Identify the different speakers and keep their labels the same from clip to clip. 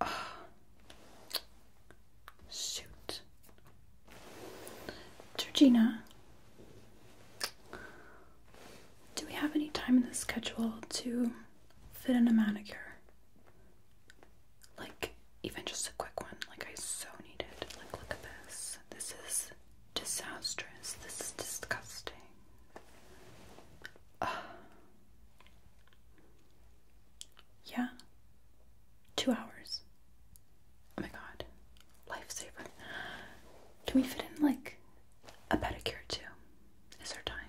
Speaker 1: Oh. Georgina, do we have any time in the schedule to fit in a manicure? Like, even just a quick one. Like, I so needed. Like, look at this. This is disastrous. This is disgusting. yeah. Two hours. Oh my god. Lifesaver. Can we fit in, like, a pedicure too? Is there time?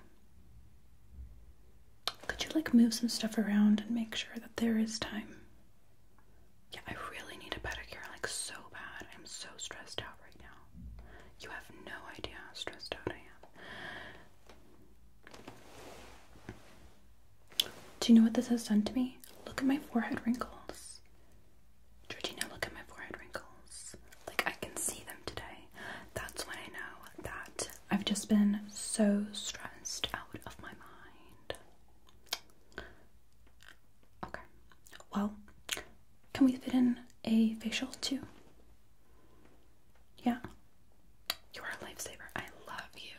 Speaker 1: Could you, like, move some stuff around and make sure that there is time? Yeah, I really need a pedicure, like so bad. I'm so stressed out right now. You have no idea how stressed out I am. Do you know what this has done to me? Look at my forehead wrinkles. Georgina, look at my forehead wrinkles. Like, I can see them today. That's when I know that I've just been so stressed out of my mind. Okay. Well, can we fit in a facial too? Yeah. You are a lifesaver. I love you.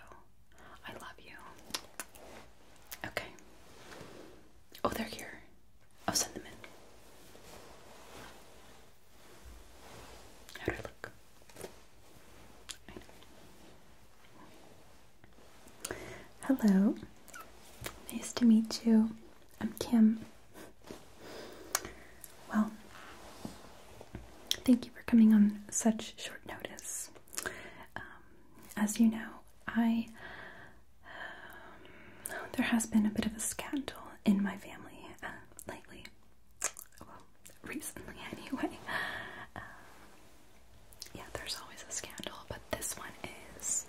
Speaker 1: I love you. Okay. Oh, they're here. I'll send them in. How do look? Hello, nice to meet you. I'm Kim. Well, thank you for coming on such short notice. Um, as you know, I there has been a bit of a scandal in my family uh, lately recently anyway. Um, yeah, there's always a scandal, but this one is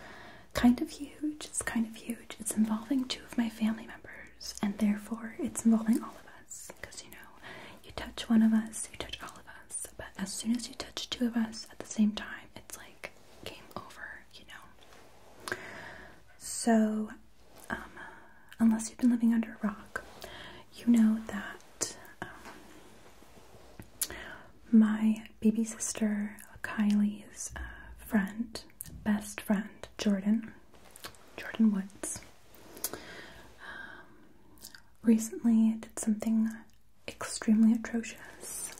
Speaker 1: kind of huge. It's kind of huge. It's involving two of my family members, and therefore it's involving all of us. Because you know, you touch one of us, you touch all of us. But as soon as you touch two of us at the same time, it's like game over, you know. So, um, unless you've been living under a rock, you know that um, my baby sister Kylie's uh, friend, best friend, Jordan, Jordan Woods, um, recently did something extremely atrocious.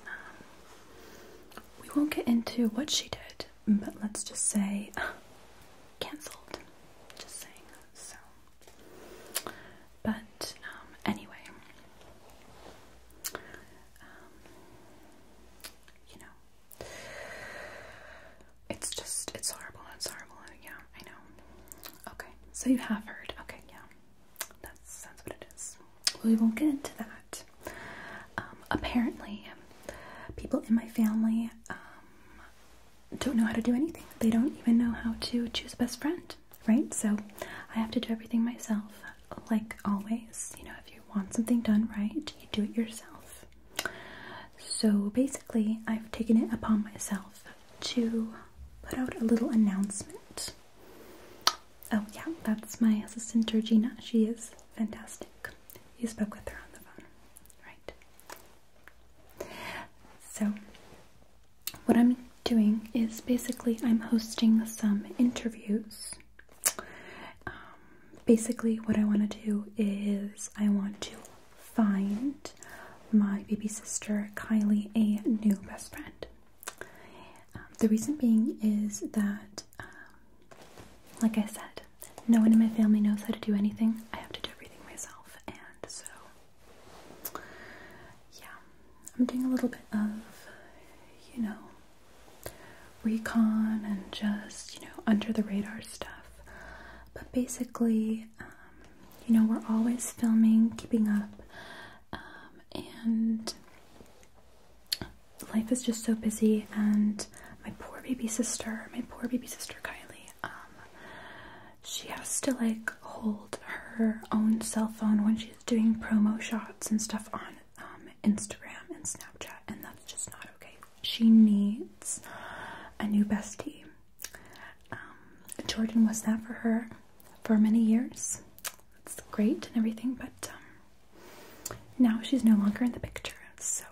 Speaker 1: Um, we won't get into what she did, but let's just say uh, cancelled. Just saying. So but um, anyway, um, you know, it's just it's horrible. It's horrible. Yeah, I know. Okay, so you have heard. Okay, yeah, that's that's what it is. We won't get into that. Um, apparently, people in my family don't know how to do anything. They don't even know how to choose a best friend, right? So I have to do everything myself, like always. You know, if you want something done right, you do it yourself. So basically, I've taken it upon myself to put out a little announcement. Oh, yeah, that's my assistant Georgina. She is fantastic. You spoke with her on the phone, right? So, what I'm doing is basically I'm hosting some interviews. Um, basically, what I want to do is I want to find my baby sister Kylie a new best friend. Um, the reason being is that, um, like I said, no one in my family knows how to do anything. I have to do everything myself, and so yeah, I'm doing a little bit of, you know, recon and just, you know, under the radar stuff. But basically, um, you know, we're always filming, keeping up, um, and life is just so busy. And my poor baby sister, my poor baby sister Kylie, um, she has to like hold her own cell phone when she's doing promo shots and stuff on um, Instagram and Snapchat, and that's just not okay. She needs a new bestie. Um, Jordan was that for her for many years. It's great and everything, but um, now she's no longer in the picture. So,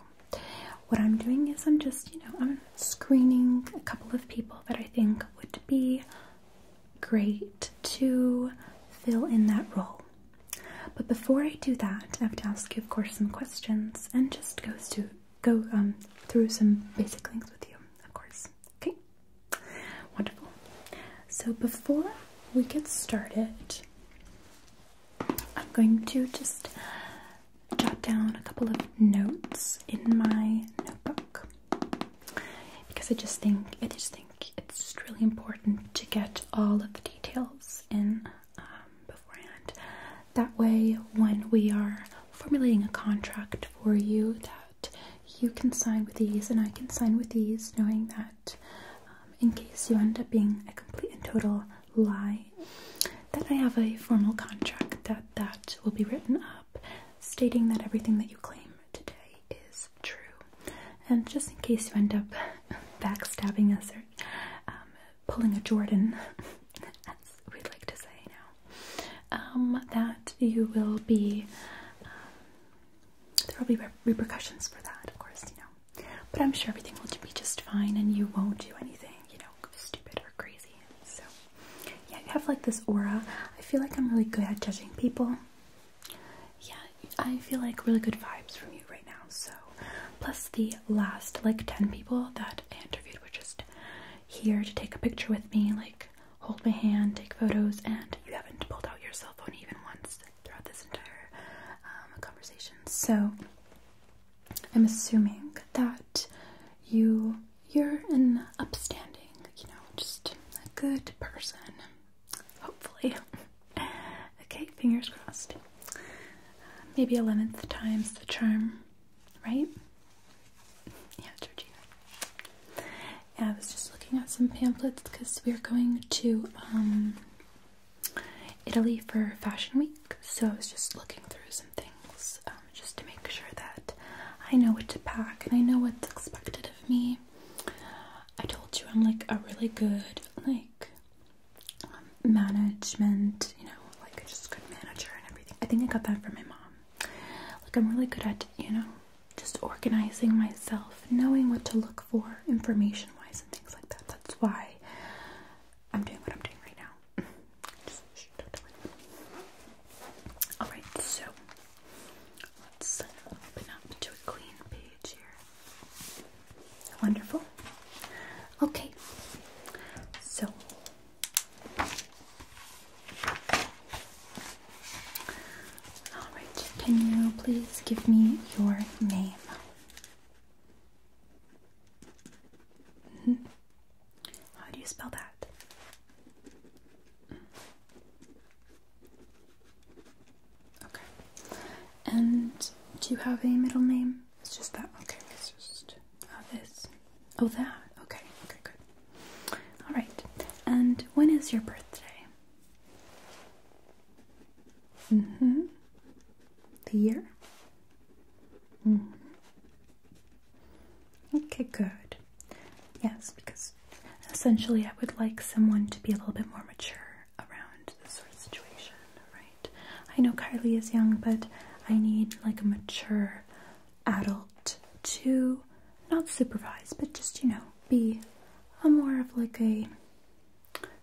Speaker 1: what I'm doing is I'm just, you know, I'm screening a couple of people that I think would be great to fill in that role. But before I do that, I have to ask you, of course, some questions and just go um, through some basic links with you, of course. Okay, wonderful. So before we get started, I'm going to just jot down a couple of notes in my notebook because I just think I just think it's really important to get all of the details in um, beforehand. That way, when we are formulating a contract for you, that you can sign with these and I can sign with these, knowing that um, in case you end up being a complete and total lie, then I have a formal contract that that will be written up stating that everything that you claim today is true. And just in case you end up backstabbing us or um, pulling a Jordan, as we'd like to say now, um, that you will be, um, there will be repercussions for that, of course, you know. But I'm sure everything will be just fine and you won't do anything, you know, stupid or crazy. So yeah, you have like this aura. I feel like I'm really good at judging people. Yeah, I feel like really good vibes from you right now. So, plus the last like 10 people that I interviewed were just here to take a picture with me, like hold my hand, take photos, and you haven't pulled out your cell phone even once throughout this entire um, conversation. So, I'm assuming that you you're an upstanding, you know, just a good person. Hopefully. okay, fingers crossed. maybe eleventh time's the charm, right? Yeah, Georgina. Yeah, I was just looking at some pamphlets because we're going to um Italy for Fashion Week, so I was just looking through some things. Um, just to make sure that I know what to pack and I know what's expected of me. I told you I'm like a really good like um, management, you know, like just good manager and everything. I think I got that from my mom. Like I'm really good at, you know, just organizing myself, knowing what to look for information wise and things like that. That's why I'm doing what I'm doing right now. Alright, so let's uh, open up to a clean page here. Wonderful. Okay, so alright, can you please give me your name? Mm-hmm. How do you spell that? Okay. And do you have a middle name? It's just that. Okay, it's just this. Oh, that. Okay, okay, good. All right. And when is your birthday? Mm hmm. The year? hmm. Okay, good. Yes, because essentially I would like someone to be a little bit more mature around this situation, right? I know Carly is young, but I need like a mature adult to not supervise, but just, you know, be a more of like a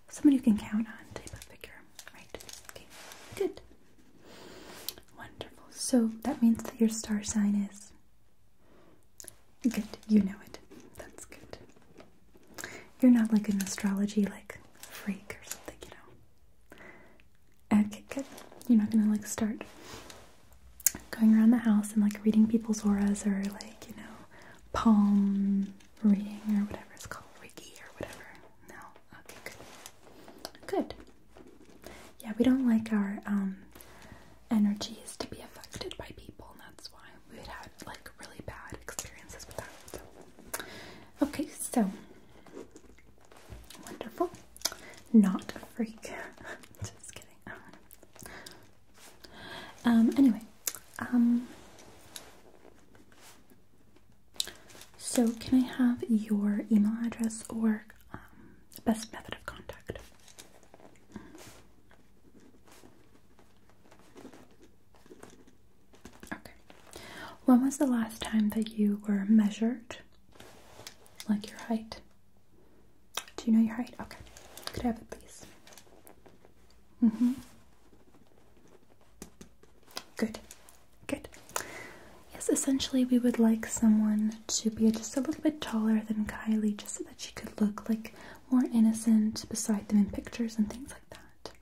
Speaker 1: someone you can count on type of figure, right? Okay, good. Wonderful. So that means that your star sign is. Good, you know it. That's good. You're not like an astrology like freak or something, you know. Okay, good. You're not gonna like start going around the house and like reading people's auras or like, you know, palm reading or whatever it's called, Reiki or whatever. No. Okay, good. Good. Yeah, we don't like our um energies to be affected by people, that's why we'd had like really bad experiences with that. Okay, so wonderful. Not a freak. Just kidding. Um anyway, um, so, can I have your email address or um, best method of contact? Okay. When was the last time that you were measured? Like your height? Do you know your height? Okay. Could I have it, please? Mm hmm. Good. Good. Yes, essentially, we would like someone to be just a little bit taller than Kylie, just so that she could look like more innocent beside them in pictures and things like that.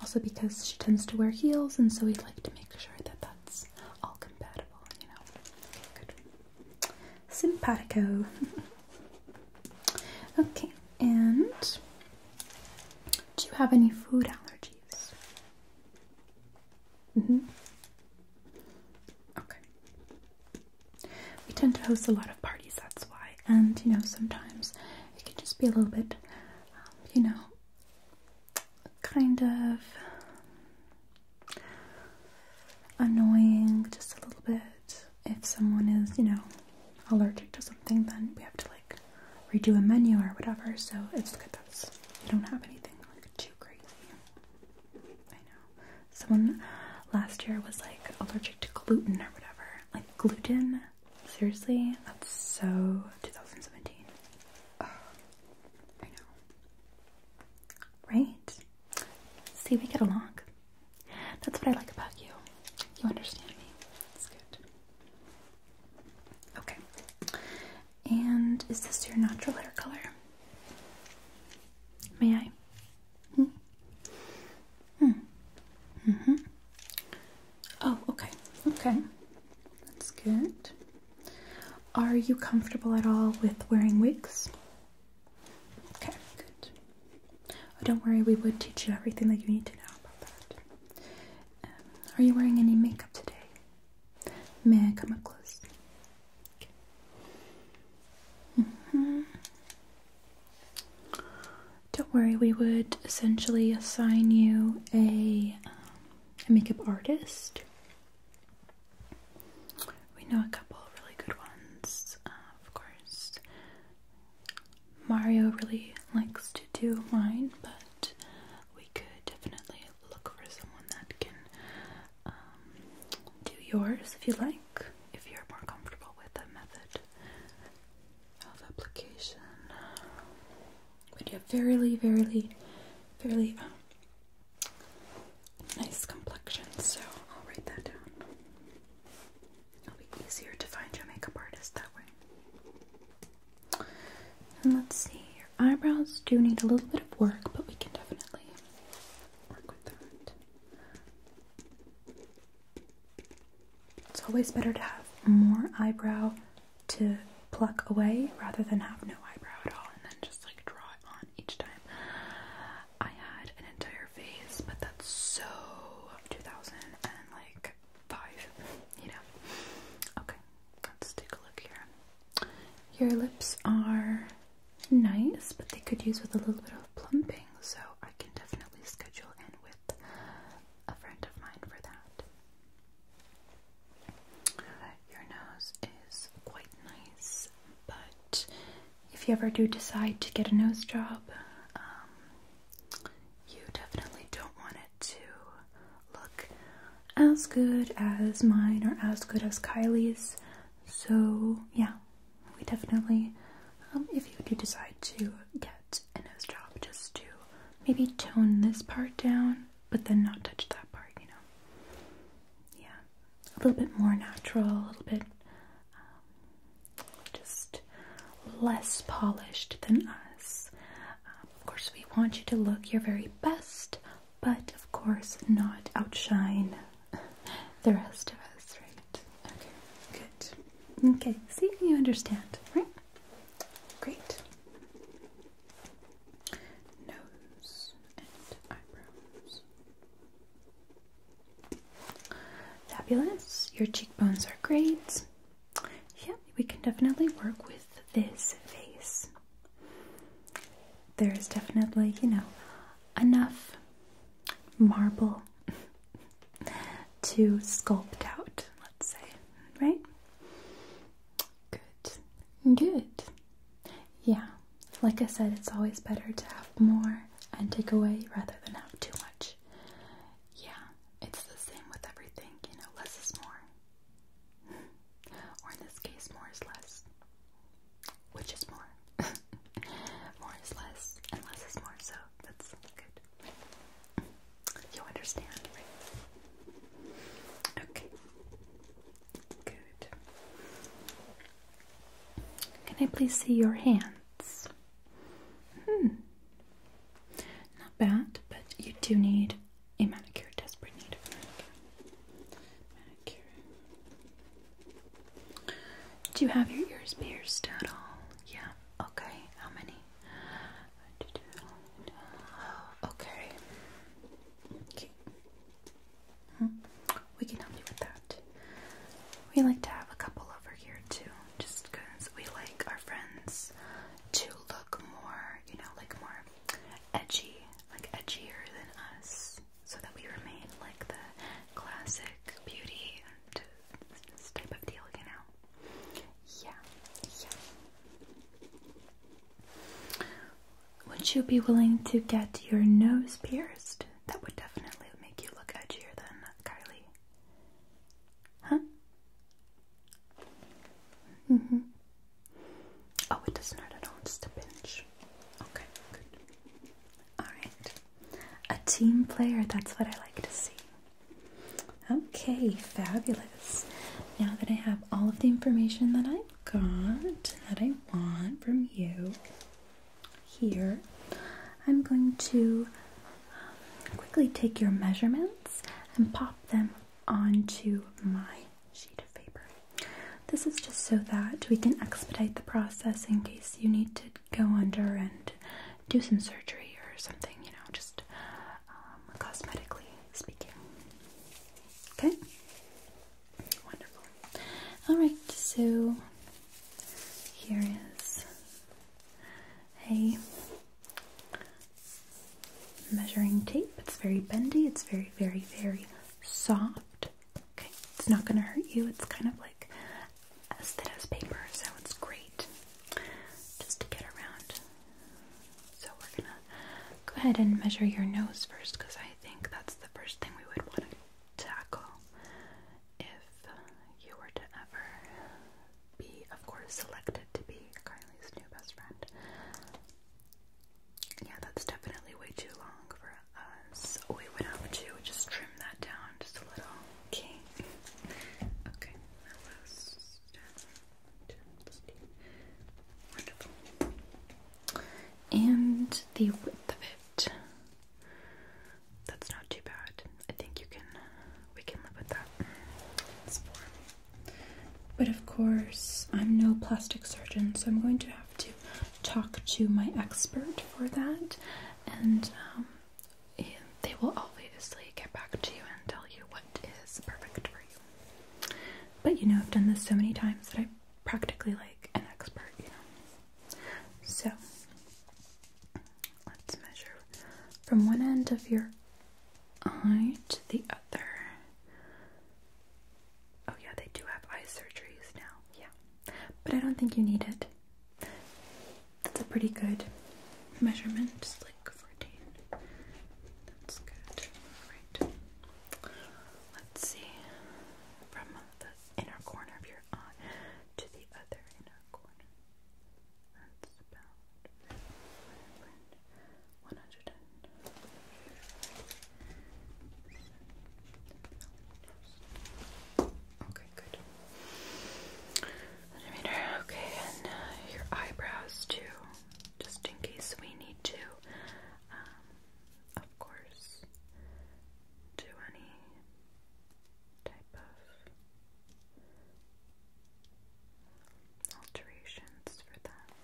Speaker 1: Also, because she tends to wear heels, and so we'd like to make sure that that's all compatible, you know. Good. Simpatico. okay, and do you have any food allergies? Mm-hmm. Okay. We tend to host a lot of parties, that's why. And, you know, sometimes it can just be a little bit, um, you know, kind of annoying, just a little bit. If someone is, you know, allergic to something, then we have to, like, redo a menu or whatever. So it's good that you don't have anything like too crazy. I know someone last year was like allergic to gluten or whatever. Like gluten, seriously, that's so 2017. I know, right? See, we get along. That's what I like about you. You understand me. It's good. Okay. And is this your natural hair color? May I? Hmm. Mm hmm. Mm-hmm. Oh, okay. Okay. That's good. Are you comfortable at all with wearing wigs? Okay, good. Oh, don't worry, we would teach you everything that you need to know about that. Um, are you wearing any makeup today? May I come up close? Mm-hmm. Don't worry, we would essentially assign you a, um, makeup artist. We know a couple really good ones, uh, of course. Mario really likes to do mine, but we could definitely look for someone that can um, do yours if you like, if you're more comfortable with that method application. But you have fairly, fairly, fairly um, nice complexion, so I'll write that down. It'll be easier to find your makeup artist that way let's see, your eyebrows do need a little bit of work, but we can definitely work with that. It's always better to have more eyebrow to pluck away rather than have no eyebrow at all and then just like draw it on each time. I had an entire face, but that's so 2000 and like five, you know. Okay, let's take a look here. Your lips are nice, but they could use with a little bit of plumping, so I can definitely schedule in with a friend of mine for that. Your nose is quite nice, but if you ever do decide to get a nose job, um, you definitely don't want it to look as good as mine or as good as Kylie's. So, yeah, we definitely, um, if you do decide to get a nose job, just to maybe tone this part down, but then not touch that part, you know? Yeah, a little bit more natural, a little bit um, just less polished than us. Um, of course, we want you to look your very best, but of course, not outshine the rest of us, right? Okay, good. Okay, see, you understand, right? Great. Nose and eyebrows. Fabulous. Your cheekbones are great yeah, we can definitely work with this face. There is definitely, you know, enough marble to sculpt out, let's say, right? Good, good. Yeah, like I said, it's always better to have more and take away rather than have too much. Yeah, it's the same with everything, you know, less is more or in this case, more is less. Which is more? more is less, and less is more, so that's good. You understand, right? Okay. Good. Can I please see your hands? Hmm. Not bad, but you do need a manicure, desperate need of manicure. Manicure. Do you have your ears pierced at all? Yeah. Okay. How many? Oh, okay. Hmm. We can help you with that. We like to have a couple over here too, just because we like our friends to look more, you know, like more edgy, like edgier than us, so that we remain like the classic beauty and this deal, you know? Yeah, yeah. Would you be willing to get your nose pierced? That would definitely make you look edgier than Kylie. Huh? Mm hmm. Oh, it doesn't hurt at all, just a pinch. Okay, good. Alright. A team player, that's what I like to see. Okay, fabulous. Now that I have all of the information that I've got, that I want from you here, I'm going to quickly take your measurements and pop them onto my sheet of paper. This is just so that we can expedite the process in case you need to go under and do some surgery or something, you know, just um, cosmetically speaking. Okay? Wonderful. Alright, so here is a measuring tape. It's very bendy. It's very, very, very soft. Okay, it's not going to hurt you. It's kind of like as thin as paper, so it's great just to get around. So we're going to go ahead and measure your nose first because I think that's the first thing we would want to tackle if you were to ever be, of course, selected to be a yeah, that's definitely way too long for us. We would have to just trim that down just a little. Okay. Okay, wonderful. And the width of it. That's not too bad. I think you can. We can live with that. But of course, I'm no plastic surgeon, so I'm going to have to talk to my expert for that, and um, they will obviously get back to you and tell you what is perfect for you. But you know, I've done this so many times that I'm practically like an expert, you know. So let's measure from one end of your eye to the other. Oh, yeah, they do have eye surgeries now. Yeah. But I don't think you need it. That's a pretty good measurement, just like 14. That's good. All right. Let's see. From the inner corner of your eye to the other inner corner. That's about one hundred Okay, good. okay, and uh, your eyebrows too, just in case we need to, um, of course, do any type of alterations for that.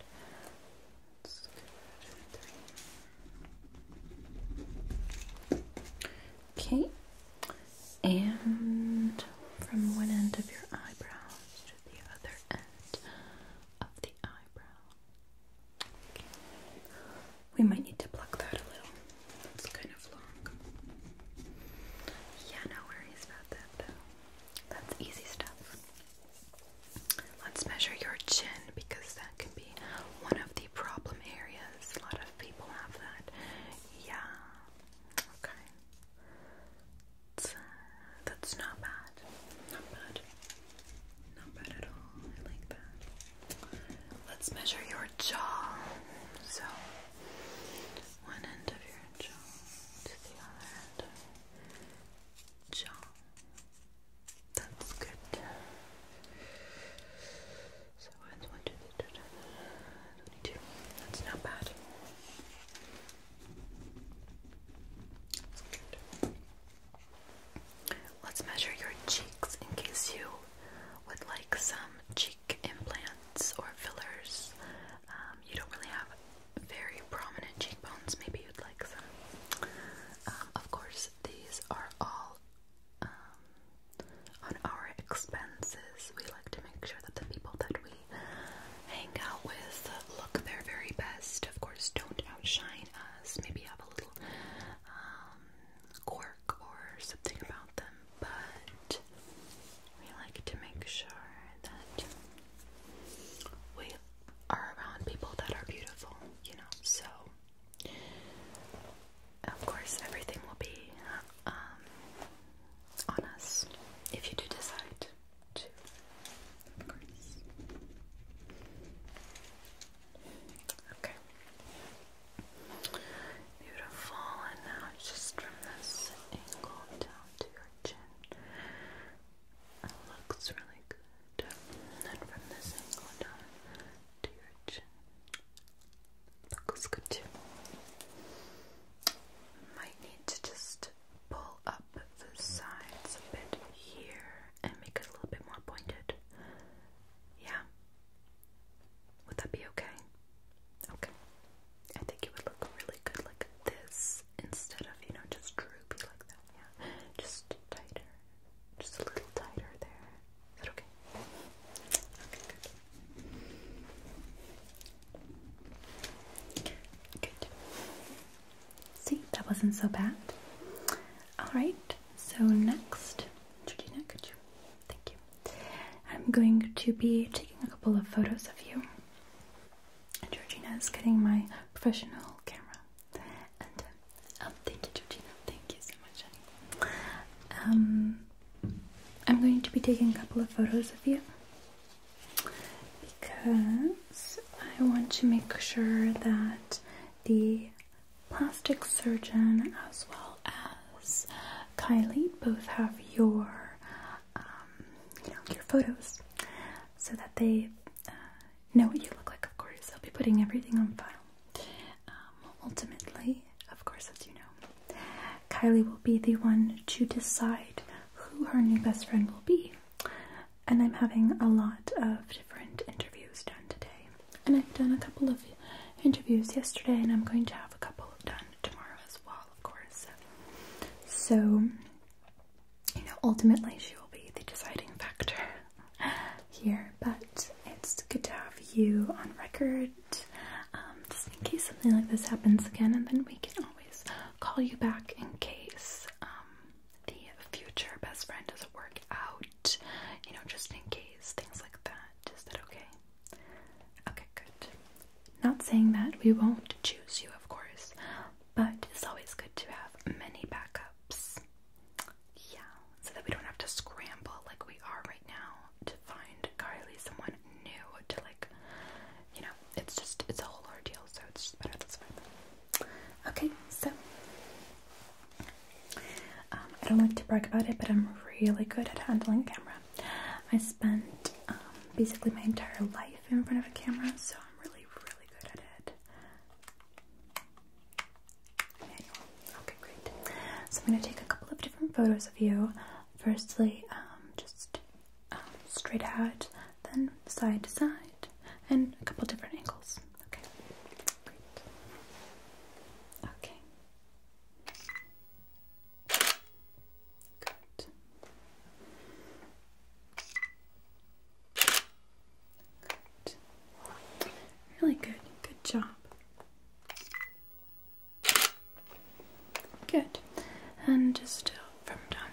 Speaker 1: Okay, and from one end of your eyebrows to the other end of the eyebrow. Okay. We might need to pluck that a little. It's kind of long. Yeah, no worries about that though. That's easy stuff. Let's measure your chin because that can be one of the problem areas. A lot of people have that. Yeah. Okay. That's, uh, that's not bad. Not bad. Not bad at all. I like that. Let's measure your jaw. So, one end of your jaw to the other end of jaw. That's good. So that's one, two, three, twenty-two. That's not bad. That's good. Let's measure your cheeks in case you would like some cheek implants or fillers. Um, you don't really have very prominent cheekbones, maybe you'd like some. Um, of course, these are all um, on our expenses. We like to make sure that the people that we hang out with look their very best. Of course, don't outshine us. Maybe have a little um, quirk or something about them, but we like to make sure that we are around people that are beautiful, you know, so of course everything will be um, if you do decide to, Okay. Beautiful, and now just from this angle down to your chin. looks really good. And then from this angle down to your chin. looks good too. Might need to just pull up the sides a bit here and make it a little bit more pointed. Yeah. Would that be okay? Okay. I think it would look really good like this instead of, you know, just droopy like that. Yeah, just tighter. Just a little tighter there. Is that okay? Okay, good. See, that wasn't so bad. Alright, so next, Georgina, could you? Thank you. I'm going to be taking a couple of photos of you. Georgina is getting my professional camera, and uh, um, thank you, Georgina. Thank you so much, Um, I'm going to be taking a couple of photos of you because I want to make sure that the plastic surgeon as well as Kylie both have your um, you know, your photos so that they uh, know what you look like, of course. I'll be putting everything on file. Um, ultimately, of course, as you know, Kylie will be the one to decide who her new best friend will be. And I'm having a lot of different interviews done today. And I've done a couple of interviews yesterday, and I'm going to have a couple done tomorrow as well, of course. So you know, ultimately she will be the deciding factor here, but it's good to have you on record um, just in case something like this happens again, and then we can always call you back in case um, the future best friend doesn't work out, you know, just in case, things like that. Is that okay? Okay. Not saying that we won't choose you, of course, but it's always good to have many backups. Yeah, so that we don't have to scramble like we are right now to find Carly someone new to like, you know, it's just, it's a whole ordeal, so it's just better this way. Okay, so, um, I don't like to brag about it, but I'm really good at handling camera. I spent um, basically my entire life in front of a camera, so I'm really, really good at it. Okay, great. So I'm going to take a couple of different photos of you. Firstly, um, just um, straight out, then side to side, and a couple different angles. Okay, great. Okay. Good. Really good. Good job. Good. And just uh, from down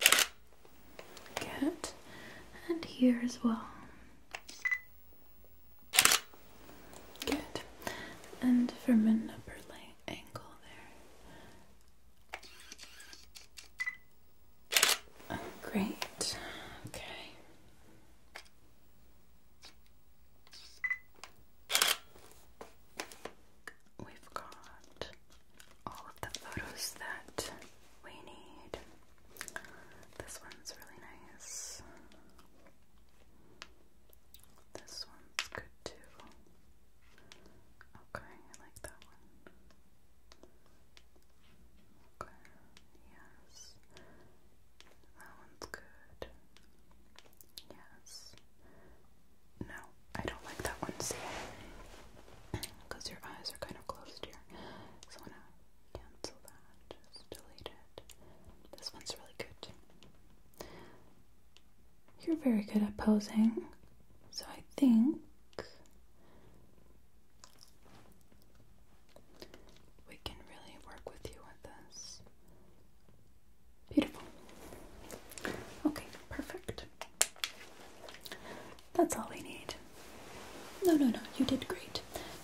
Speaker 1: here. Good. And here as well. Good. And from an upper light angle there. Oh, great. Okay. We've got all of the photos that we need. This one's really nice. This one's good too. Okay, I like that one. Okay, yes. That one's good. Yes. No, I don't like that one, see? Because your eyes are kind of closed here. So I'm gonna cancel that. Just delete it. This one's really good. You're very good at posing, so I think we can really work with you with this. Beautiful. Okay, perfect. That's all we need. No, no, no, you did great.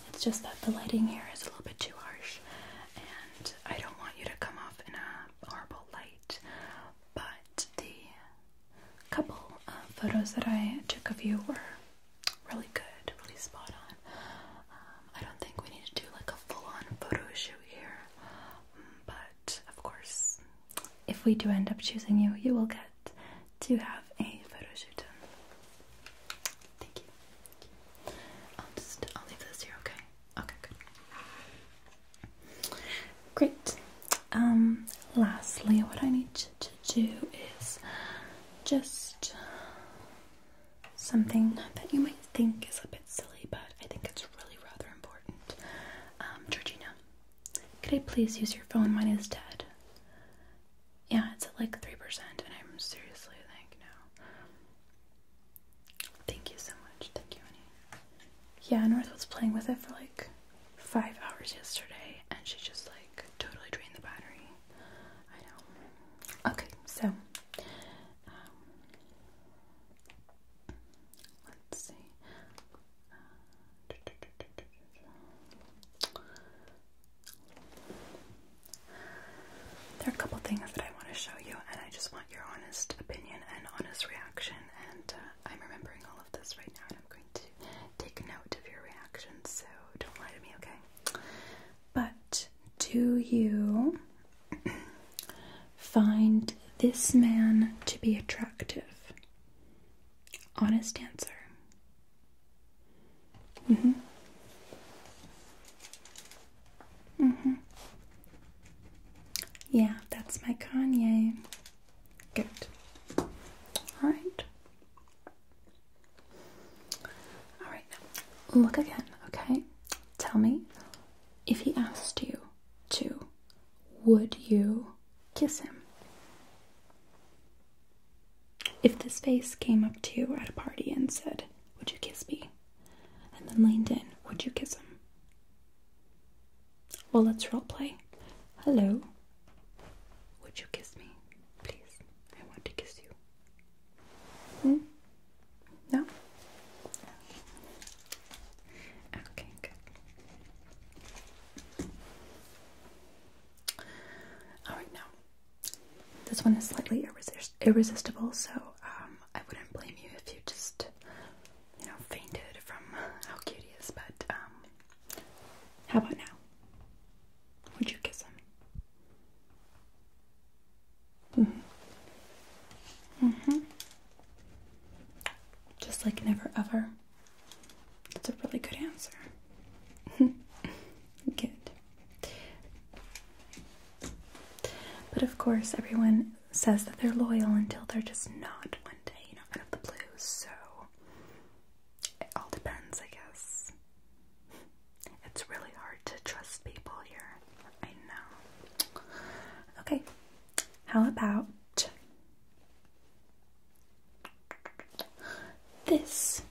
Speaker 1: It's just that the lighting here is a little bit too harsh and I don't want you to come off in a horrible light, but the couple of photos that I took of you were really good, really spot on. Um, I don't think we need to do like a full-on photo shoot here, but of course, if we do end up choosing you, you will get to have a photo shoot done. Thank you. I'll just I'll leave this here, okay? Okay, good. Great. Um lastly what I need to, do is just something that you might think is a bit silly, but I think it's really rather important. Um, Georgina, could I please use your phone? Mine is dead. Yeah, it's at like 3%, and I'm seriously like, no. Thank you so much. Thank you, honey. Yeah, North was playing with it for like five hours yesterday, and she just like totally drained the battery. I know. Okay, so um, let's see. Uh, there are a couple things that I want to show you, and I just want your honest opinion and honest reaction. And uh, I'm remembering all of this right now, and I'm going to take note of your reaction, so don't lie to me, okay? But do you find this man to be attractive? Honest answer. Mm-hmm. Mm-hmm. Yeah, that's my Kanye. Good. Alright. Alright, look again, okay? Tell me if he asked you to, would you kiss him? If this face came up to you at a party and said, Would you kiss me? and then leaned in, would you kiss him? Well, let's play. Hello. Would you kiss me? Please. I want to kiss you. Hmm? No? Okay, good. Alright, now this one is slightly irresistible, so um, I wouldn't blame you if you just, you know, fainted from how cute he is. But um, how about now? Would you kiss him? Mhm. Mm mhm. just like never ever. That's a really good answer. Good. But of course, everyone says that they're loyal until they're just not one day, you know, out of the blues. So it all depends, I guess. It's really hard to trust people here. I know. Okay, how about this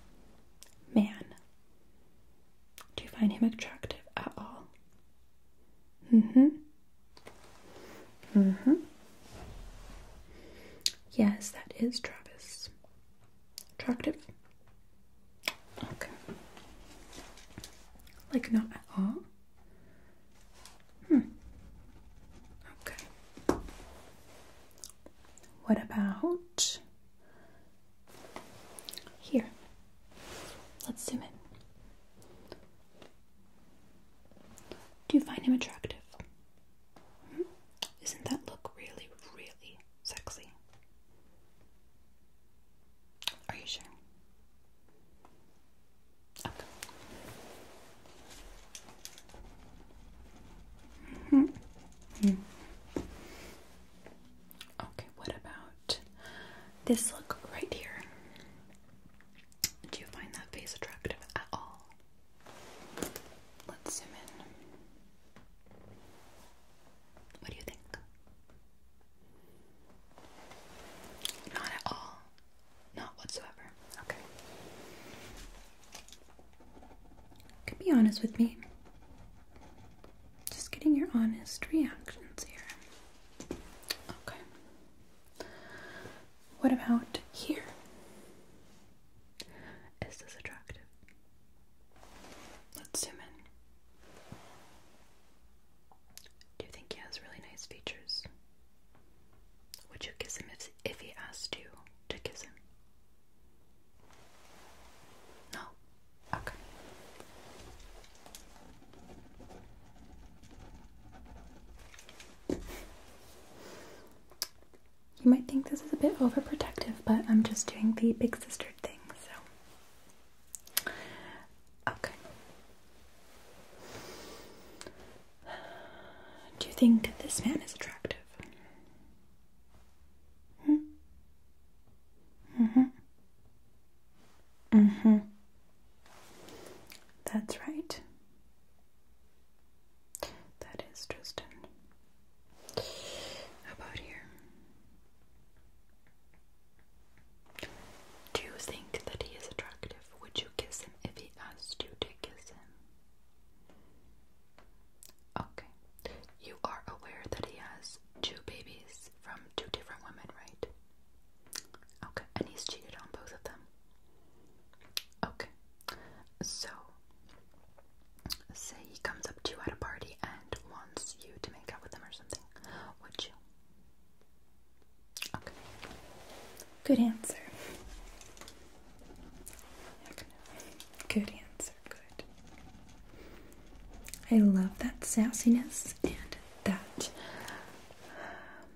Speaker 1: man do you find him attractive at all? Mm-hmm. Mm-hmm. Yes, that is Travis. Attractive? Okay. Like not at all? Hmm. Okay. What about here, let's zoom in. Do you find him attractive? Hmm? Isn't that look really, really sexy? Are you sure? Okay. -hmm. -hmm. Okay, what about this look right here? Do you find that face attractive at all? Let's zoom in. What do you think? Not at all. Not whatsoever. Okay. can be honest with me. Just getting your honest reactions here. Okay. What about here? Is this attractive? Let's zoom in. Do you think he has really nice features? Would you kiss him if, if he asked you to kiss him? No? Okay. You might think this is a bit overprotective, but I'm just doing the big sister thing, so. Okay. Do you think this man is attractive? Hmm? Mm-hmm. Mm-hmm. That's right. That is Tristan. about here? Do you think that he is attractive? Would you kiss him if he asked you to kiss him? Okay. You are aware that he has two babies from two different women, right? Okay. And he's cheated on both of them. Okay. So, say he comes up to you at a party and wants you to make out with him or something. Would you? Okay. Good answer. Good answer good. I love that sassiness and that um,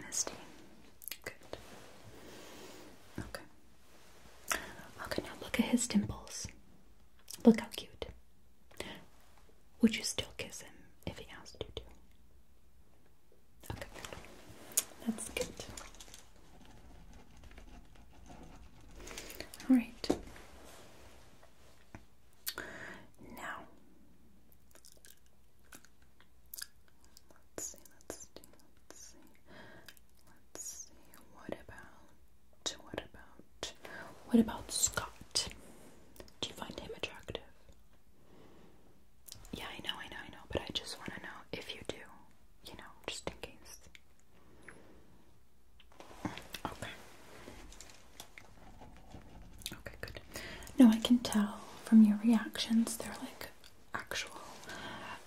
Speaker 1: honesty. Good. Okay. Okay, now look at his dimples. Look how cute. Would you still kiss him if he asked you to? Okay, that's good. All right. Now, let's see, let's see, let's see, let's see, what about, what about, what about Scott? Do you find him attractive? Yeah, I know, I know, I know, but I just want to know if you do, you know, just in case. Okay. Okay, good. No, I can tell from your reactions, they're like actual,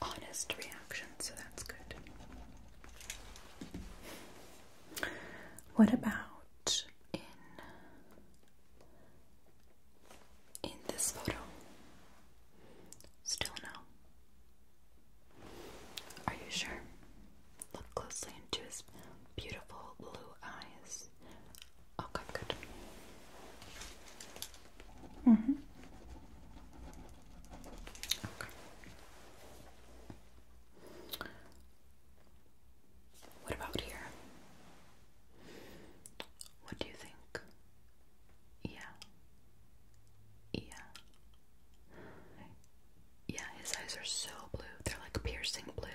Speaker 1: honest reactions, so that's good. What about in in this photo? Still no. Are you sure? Look closely into his beautiful blue eyes. Okay, good. Mm-hmm. Okay. What about here? What do you think? Yeah. Yeah. Yeah, his eyes are so blue. They're like piercing blue.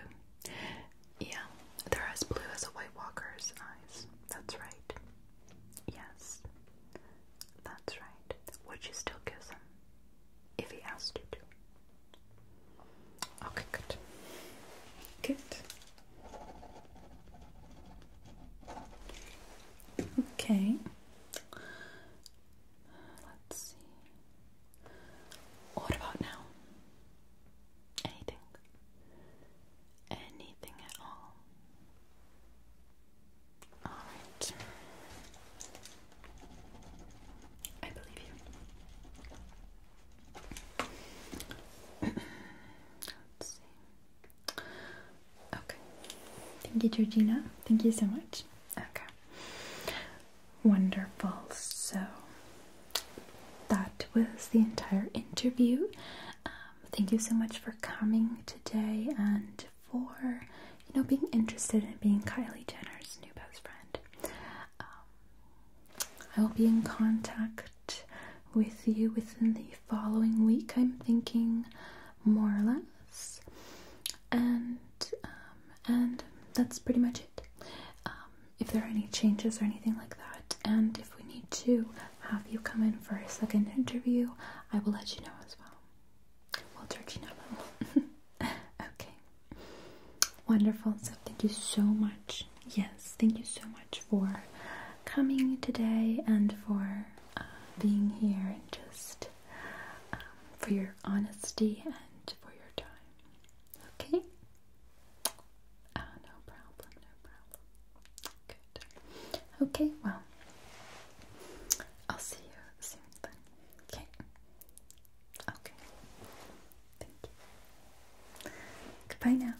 Speaker 1: Yeah, they're as blue as a White Walker's eyes. That's right. Yes, that's right. Would you still kiss him if he asked you to? Okay, good. Good. Okay. Let's see. What about now? Anything? Anything at all? Alright. I believe you. Let's see. Okay. Thank you, Georgina. Thank you so much. Okay. Wonderful. So that was the entire interview. Um, thank you so much for coming today and for you know being interested in being Kylie Jenner's new best friend. Um, I will be in contact with you within the following week. I'm thinking more or less and um, and that's pretty much it. Um, if there are any changes or anything like that, and if we need to have you come in for a second interview, I will let you know as well. We'll you know. okay. Wonderful. So thank you so much. Yes, thank you so much for coming today and for uh, being here and just um, for your honesty and for your time. Okay? Uh, no problem, no problem. Good. Okay, well, I'll see you soon then. Okay? Okay. Thank you. Goodbye now.